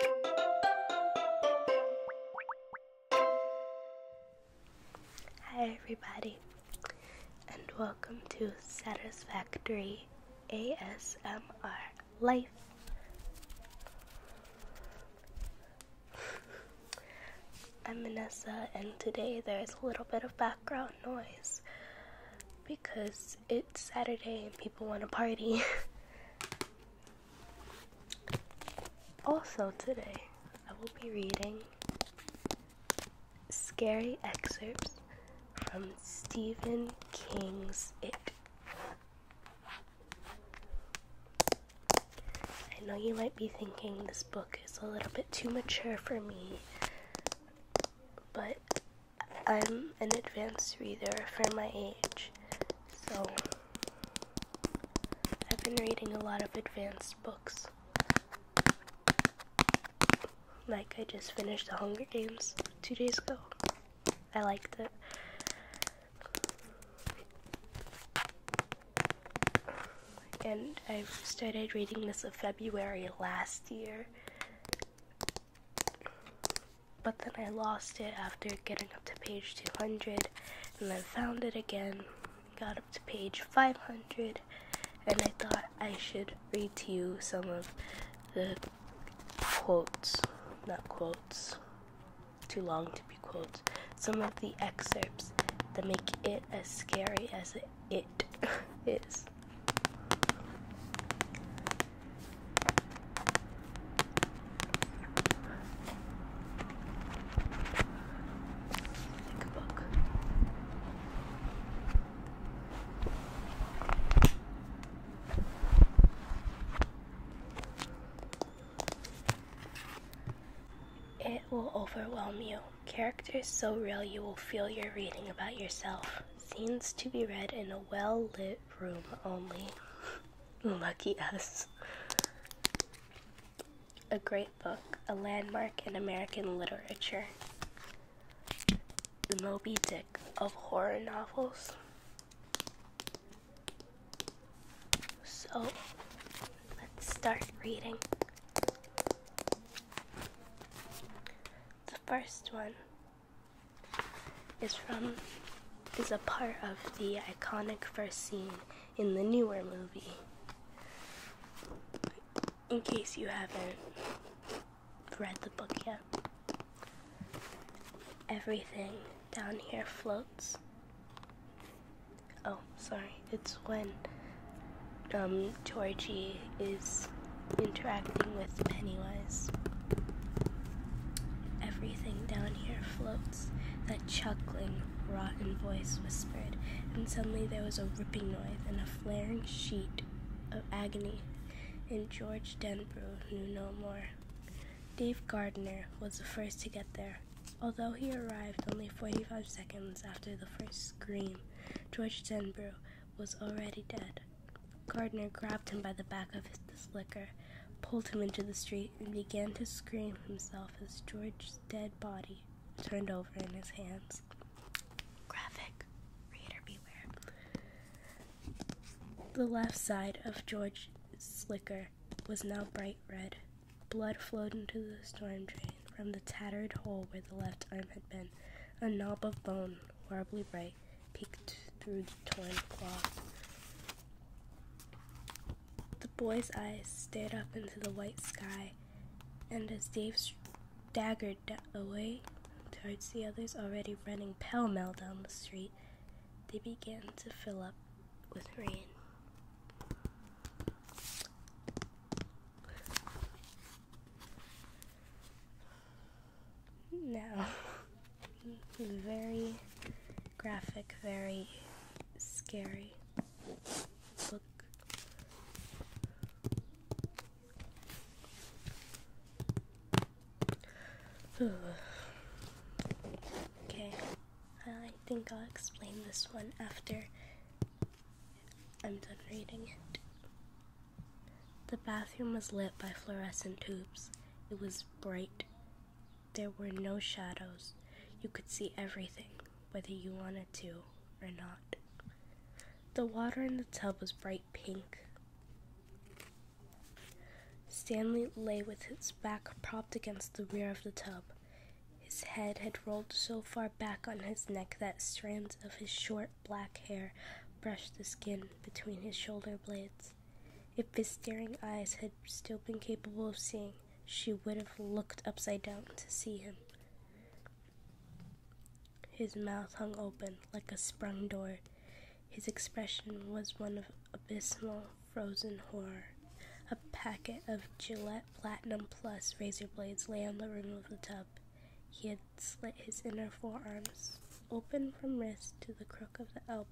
Hi, everybody, and welcome to Satisfactory ASMR Life. I'm Vanessa, and today there's a little bit of background noise because it's Saturday and people want to party. Also, today I will be reading scary excerpts from Stephen King's It. I know you might be thinking this book is a little bit too mature for me, but I'm an advanced reader for my age, so, I've been reading a lot of advanced books. Like, I just finished The Hunger Games two days ago. I liked it. And I started reading this in February last year but then I lost it after getting up to page 200, and then found it again, got up to page 500, and I thought I should read to you some of the quotes, not quotes, too long to be quotes, some of the excerpts that make it as scary as it is. It will overwhelm you. Characters so real you will feel you're reading about yourself. Scenes to be read in a well lit room only. Lucky us. A great book, a landmark in American literature. The Moby Dick of horror novels. So, let's start reading. The first one is from is a part of the iconic first scene in the newer movie. In case you haven't read the book yet, everything down here floats. Oh, sorry, it's when um, Georgie is interacting with Pennywise. Everything down here floats, that chuckling, rotten voice whispered, and suddenly there was a ripping noise and a flaring sheet of agony, and George Denbrough knew no more. Dave Gardner was the first to get there. Although he arrived only 45 seconds after the first scream, George Denbrough was already dead. Gardner grabbed him by the back of his slicker, pulled him into the street, and began to scream himself as George's dead body turned over in his hands. Graphic. Reader beware. The left side of George slicker was now bright red. Blood flowed into the storm drain from the tattered hole where the left arm had been. A knob of bone, horribly bright, peeked through the torn cloth. The boy's eyes stared up into the white sky, and as Dave staggered away towards the others already running pell mell down the street, they began to fill up with rain. Now, very graphic, very scary book. okay, I think I'll explain this one after I'm done reading it. The bathroom was lit by fluorescent tubes. It was bright there were no shadows. You could see everything, whether you wanted to or not. The water in the tub was bright pink. Stanley lay with his back propped against the rear of the tub. His head had rolled so far back on his neck that strands of his short black hair brushed the skin between his shoulder blades. If his staring eyes had still been capable of seeing, she would have looked upside down to see him. His mouth hung open like a sprung door. His expression was one of abysmal, frozen horror. A packet of Gillette Platinum Plus razor blades lay on the rim of the tub. He had slit his inner forearms open from wrist to the crook of the elbow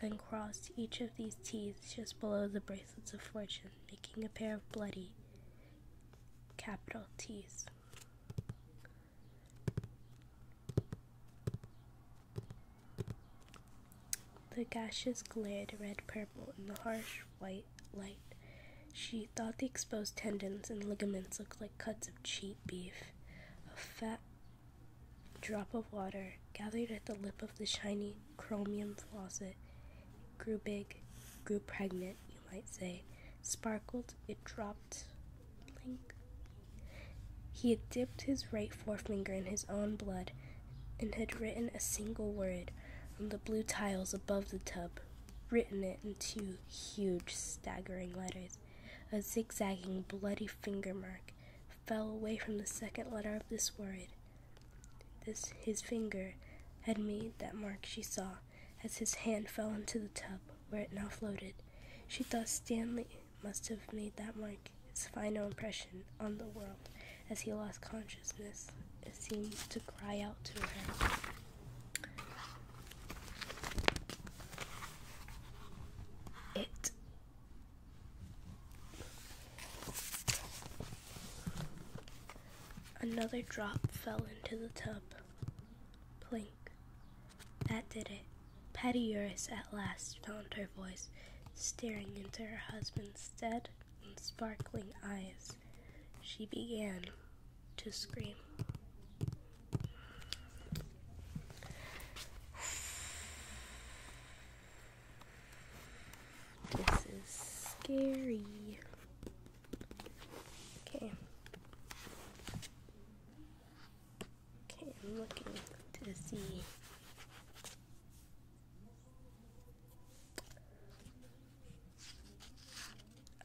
then crossed each of these teeth just below the bracelets of fortune, making a pair of bloody capital T's. The gashes glared red purple in the harsh white light. She thought the exposed tendons and ligaments looked like cuts of cheap beef. A fat drop of water gathered at the lip of the shiny chromium faucet. grew big, grew pregnant, you might say. Sparkled, it dropped. He had dipped his right forefinger in his own blood and had written a single word on the blue tiles above the tub, written it in two huge, staggering letters, a zigzagging, bloody finger mark fell away from the second letter of this word. This his finger had made that mark she saw as his hand fell into the tub where it now floated. She thought Stanley must have made that mark, his final impression on the world, as he lost consciousness. It seemed to cry out to her. It Another drop fell into the tub. Plink. That did it. Patty Uris at last found her voice, staring into her husband's dead and sparkling eyes. She began to scream. This is scary. Okay. Okay, I'm looking to see.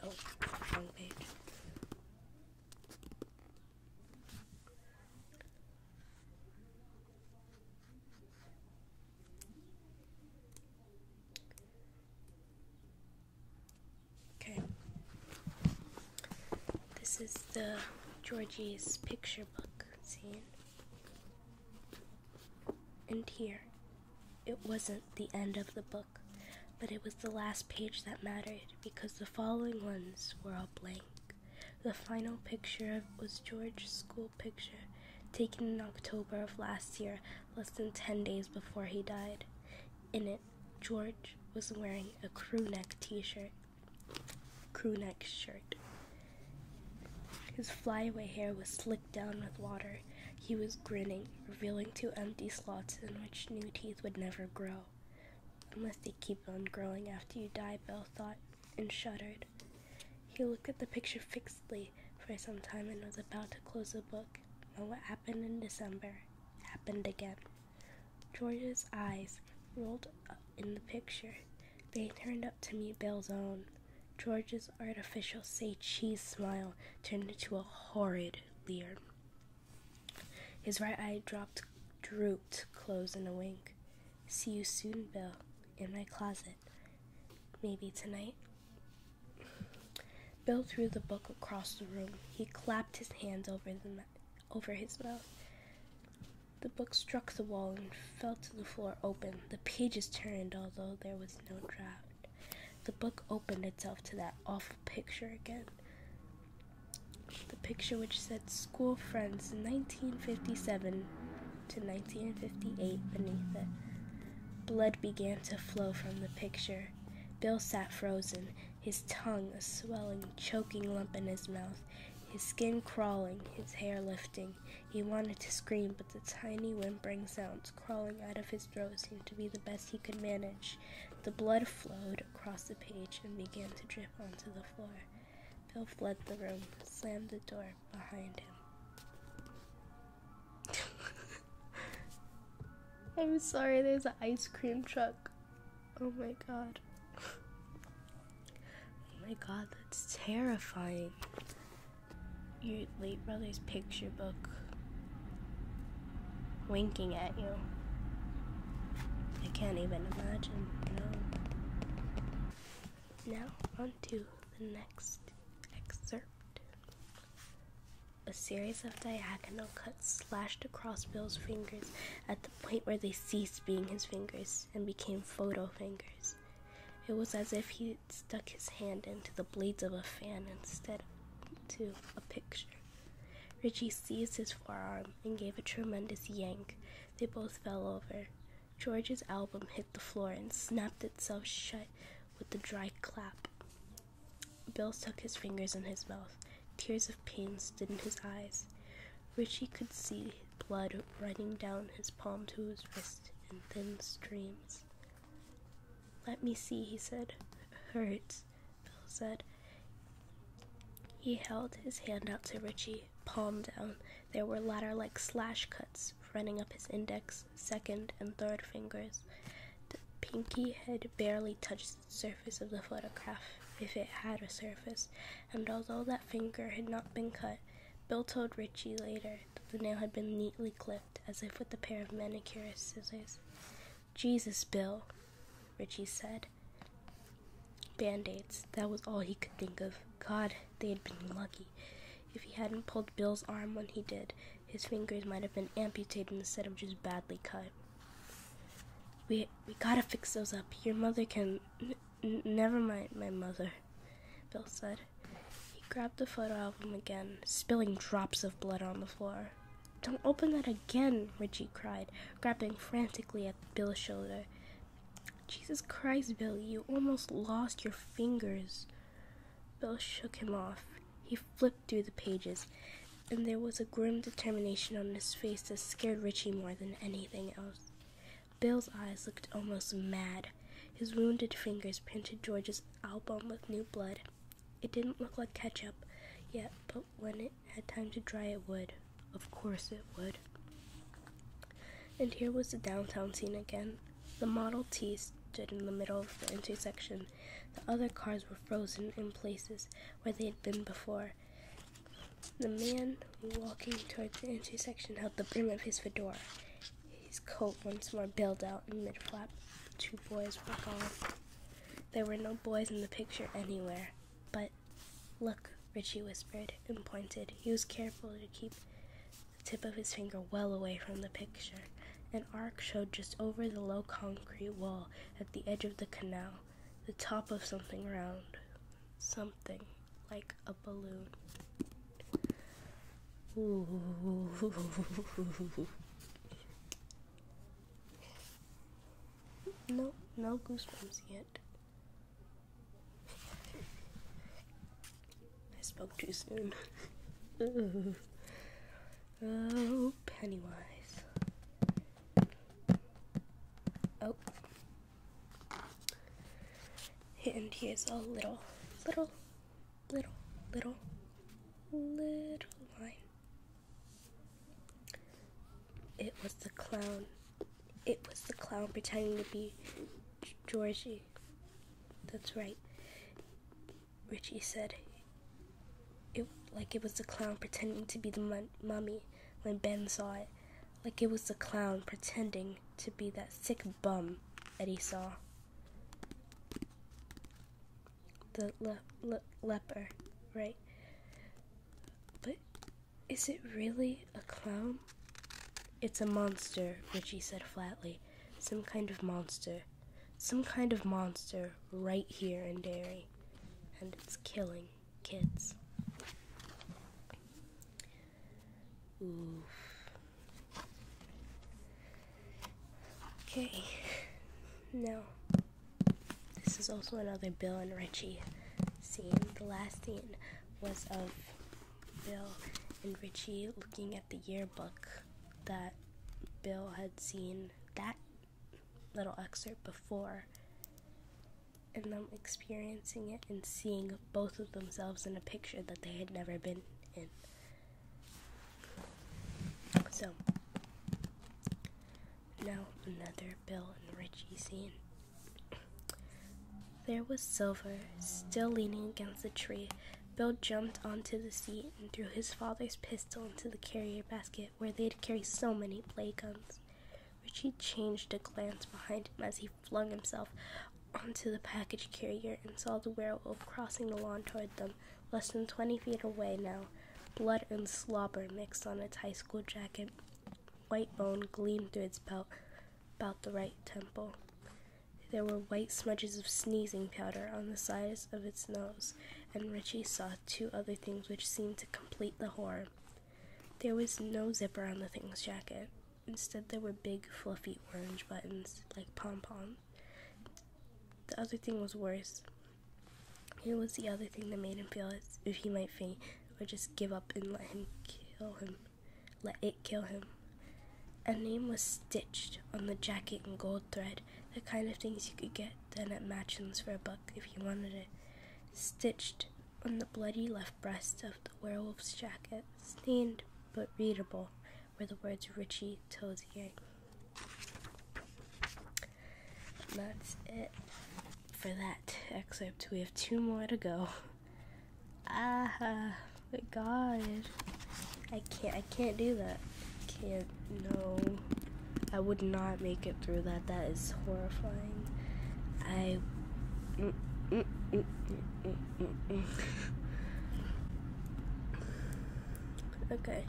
Oh, wrong page. Okay. This is the Georgie's picture book scene. And here, it wasn't the end of the book, but it was the last page that mattered because the following ones were all blank. The final picture was George's school picture, taken in October of last year, less than 10 days before he died. In it, George was wearing a crew neck t-shirt, crew neck shirt. His flyaway hair was slicked down with water. He was grinning, revealing two empty slots in which new teeth would never grow. Unless they keep on growing after you die, Bell thought and shuddered. He looked at the picture fixedly for some time and was about to close the book. Now, what happened in December happened again. George's eyes rolled up in the picture. They turned up to meet Bill's own. George's artificial say cheese smile turned into a horrid leer. His right eye dropped, drooped, closed in a wink. See you soon, Bill, in my closet. Maybe tonight? Bill threw the book across the room. He clapped his hands over, the, over his mouth. The book struck the wall and fell to the floor open. The pages turned, although there was no draft. The book opened itself to that awful picture again. The picture which said school friends 1957 to 1958 beneath it. Blood began to flow from the picture. Bill sat frozen, his tongue a swelling, choking lump in his mouth, his skin crawling, his hair lifting. He wanted to scream, but the tiny whimpering sounds crawling out of his throat seemed to be the best he could manage. The blood flowed across the page and began to drip onto the floor. Bill fled the room, slammed the door behind him. I'm sorry, there's an ice cream truck. Oh my god. Oh my god, that's terrifying. Your late brother's picture book winking at you. I can't even imagine. Now, on to the next excerpt. A series of diagonal cuts slashed across Bill's fingers at the point where they ceased being his fingers and became photo fingers. It was as if he stuck his hand into the blades of a fan instead of to a picture. Richie seized his forearm and gave a tremendous yank. They both fell over. George's album hit the floor and snapped itself shut with a dry clap. Bill stuck his fingers in his mouth. Tears of pain stood in his eyes. Richie could see blood running down his palm to his wrist in thin streams. Let me see, he said. It hurts, Bill said. He held his hand out to Richie palm down, there were ladder like slash cuts running up his index, second, and third fingers. The pinky head barely touched the surface of the photograph, if it had a surface, and although that finger had not been cut, Bill told Ritchie later that the nail had been neatly clipped, as if with a pair of manicurist scissors. Jesus, Bill, Ritchie said. Band aids, that was all he could think of. God, they had been lucky. If he hadn't pulled Bill's arm when he did, his fingers might have been amputated instead of just badly cut. We we gotta fix those up. Your mother can. never mind, my mother, Bill said. He grabbed the photo album again, spilling drops of blood on the floor. Don't open that again, Ritchie cried, grabbing frantically at Bill's shoulder. Jesus Christ, Bill, you almost lost your fingers. Bill shook him off. He flipped through the pages, and there was a grim determination on his face that scared Richie more than anything else. Bill's eyes looked almost mad. His wounded fingers printed George's album with new blood. It didn't look like ketchup yet, but when it had time to dry, it would. Of course it would. And here was the downtown scene again. The Model T stood in the middle of the intersection. The other cars were frozen in places where they had been before. The man walking toward the intersection held the brim of his fedora, his coat once more bailed out in mid flap. Two boys were gone. There were no boys in the picture anywhere, but Look, Ritchie whispered and pointed. He was careful to keep the tip of his finger well away from the picture. An arc showed just over the low concrete wall at the edge of the canal, the top of something round, something like a balloon. Ooh. No, no goosebumps yet. I spoke too soon. oh, Pennywise. Oh. And he a little, little, little, little, little line. It was the clown. It was the clown pretending to be Georgie. That's right. Richie said. It like it was the clown pretending to be the mummy when Ben saw it. Like it was the clown pretending to be that sick bum Eddie saw. The le le leper, right? But is it really a clown? It's a monster, Richie said flatly. Some kind of monster. Some kind of monster right here in Derry. And it's killing kids. Oof. Okay. Now, this is also another Bill and Richie scene. The last scene was of Bill and Richie looking at the yearbook that Bill had seen that little excerpt before and them experiencing it and seeing both of themselves in a picture that they had never been in. So, now another Bill and Richie scene. There was Silver, still leaning against the tree. Bill jumped onto the seat and threw his father's pistol into the carrier basket where they had carried so many play guns. Richie changed a glance behind him as he flung himself onto the package carrier and saw the werewolf crossing the lawn toward them, less than twenty feet away now. Blood and slobber mixed on its high school jacket. White bone gleamed through its belt about the right temple. There were white smudges of sneezing powder on the sides of its nose, and Ritchie saw two other things which seemed to complete the horror. There was no zipper on the thing's jacket. Instead, there were big, fluffy orange buttons, like pom poms. The other thing was worse. It was the other thing that made him feel as if he might faint or just give up and let him kill him. Let it kill him. A name was stitched on the jacket in gold thread, the kind of things you could get then at Matchin's for a buck if you wanted it. Stitched on the bloody left breast of the werewolf's jacket, stained but readable, were the words Richie Tozier. That's it for that excerpt. We have two more to go. Ah, my God. I can't, I can't do that. Can't, no. I would not make it through that. That is horrifying. I. Mm, mm, mm, okay.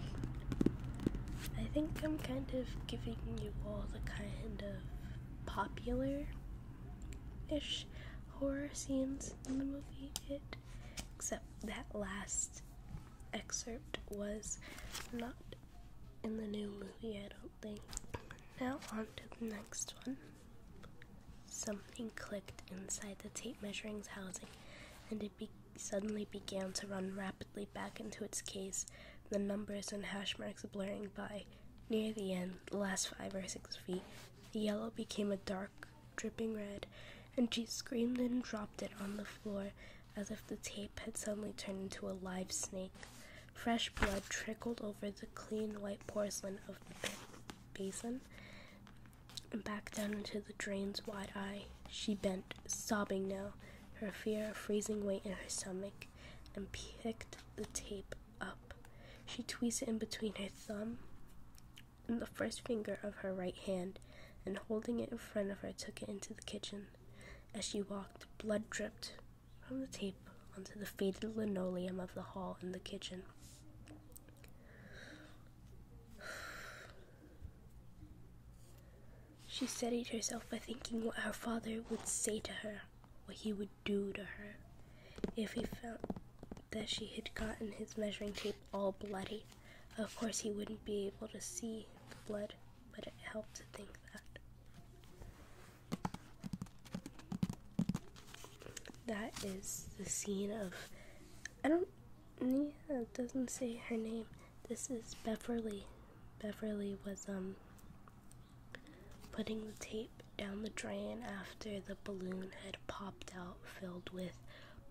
I think I'm kind of giving you all the kind of popular ish horror scenes in the movie It, except that last excerpt was not in the new movie, I don't think. Now, on to the next one. Something clicked inside the tape measuring's housing, and it suddenly began to run rapidly back into its case, the numbers and hash marks blurring by. Near the end, the last five or six feet the yellow became a dark, dripping red, and she screamed and dropped it on the floor as if the tape had suddenly turned into a live snake. Fresh blood trickled over the clean white porcelain of the basin and back down into the drain's wide eye. She bent, sobbing now, her fear of freezing weight in her stomach, and picked the tape up. She tweezed it in between her thumb and the first finger of her right hand, and holding it in front of her, took it into the kitchen. As she walked, blood dripped from the tape onto the faded linoleum of the hall and the kitchen. She steadied herself by thinking what her father would say to her, what he would do to her if he found that she had gotten his measuring tape all bloody. Of course, he wouldn't be able to see the blood, but it helped to think that. That is the scene of. I don't. Yeah, it doesn't say her name. This is Beverly. Beverly was, um, Putting the tape down the drain after the balloon had popped out filled with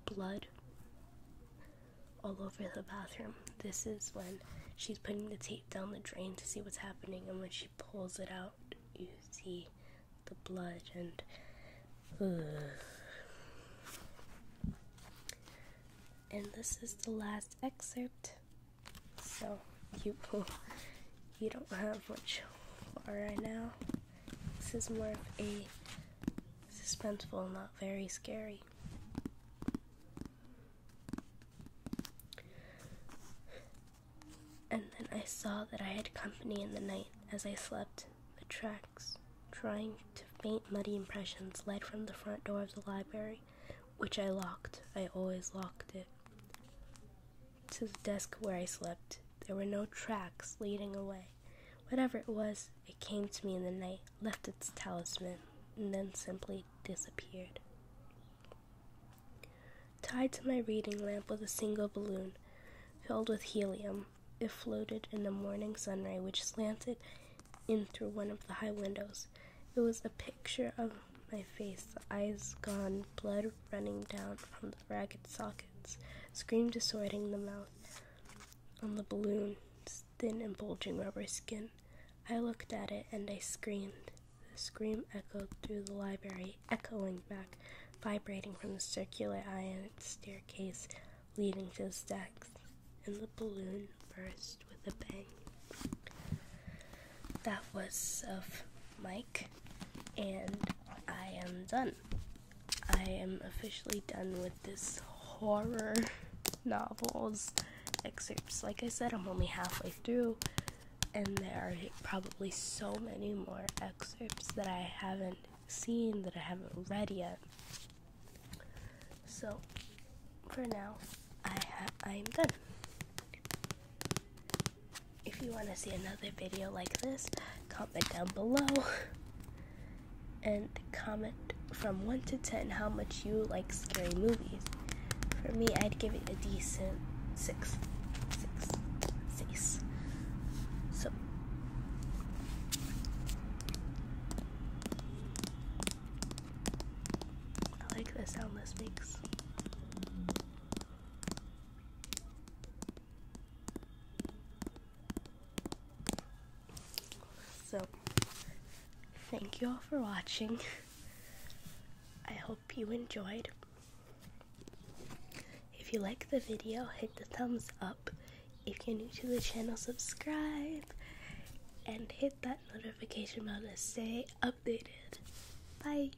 blood all over the bathroom. This is when she's putting the tape down the drain to see what's happening, and when she pulls it out, you see the blood and. this is the last excerpt, so you pull. you don't have much far right now. This is more of a suspenseful, not very scary. And then I saw that I had company in the night as I slept. The tracks, trying to faint muddy impressions, led from the front door of the library, which I locked. I always locked it to the desk where I slept. There were no tracks leading away. Whatever it was, it came to me in the night, left its talisman, and then simply disappeared. Tied to my reading lamp was a single balloon filled with helium. It floated in the morning sunray, which slanted in through one of the high windows. It was a picture of my face, the eyes gone, blood running down from the ragged sockets, screamed, distorting the mouth on the balloon's thin and bulging rubber skin. I looked at it and I screamed. The scream echoed through the library, echoing back, vibrating from the circular iron staircase leading to the stacks, and the balloon burst with a bang that was of Mike, and I am done. I am officially done with this horror novels excerpts. Like I said, I'm only halfway through, and there are probably so many more excerpts that I haven't seen, that I haven't read yet. So, for now, I I'm done. If you want to see another video like this, comment down below and comment from 1 to 10 how much you like scary movies. For me, I'd give it a decent 6. 6. 6. So. I like the sound this makes. So, thank you all for watching. I hope you enjoyed. If you like the video, hit the thumbs up. If you're new to the channel, subscribe and hit that notification bell to stay updated. Bye.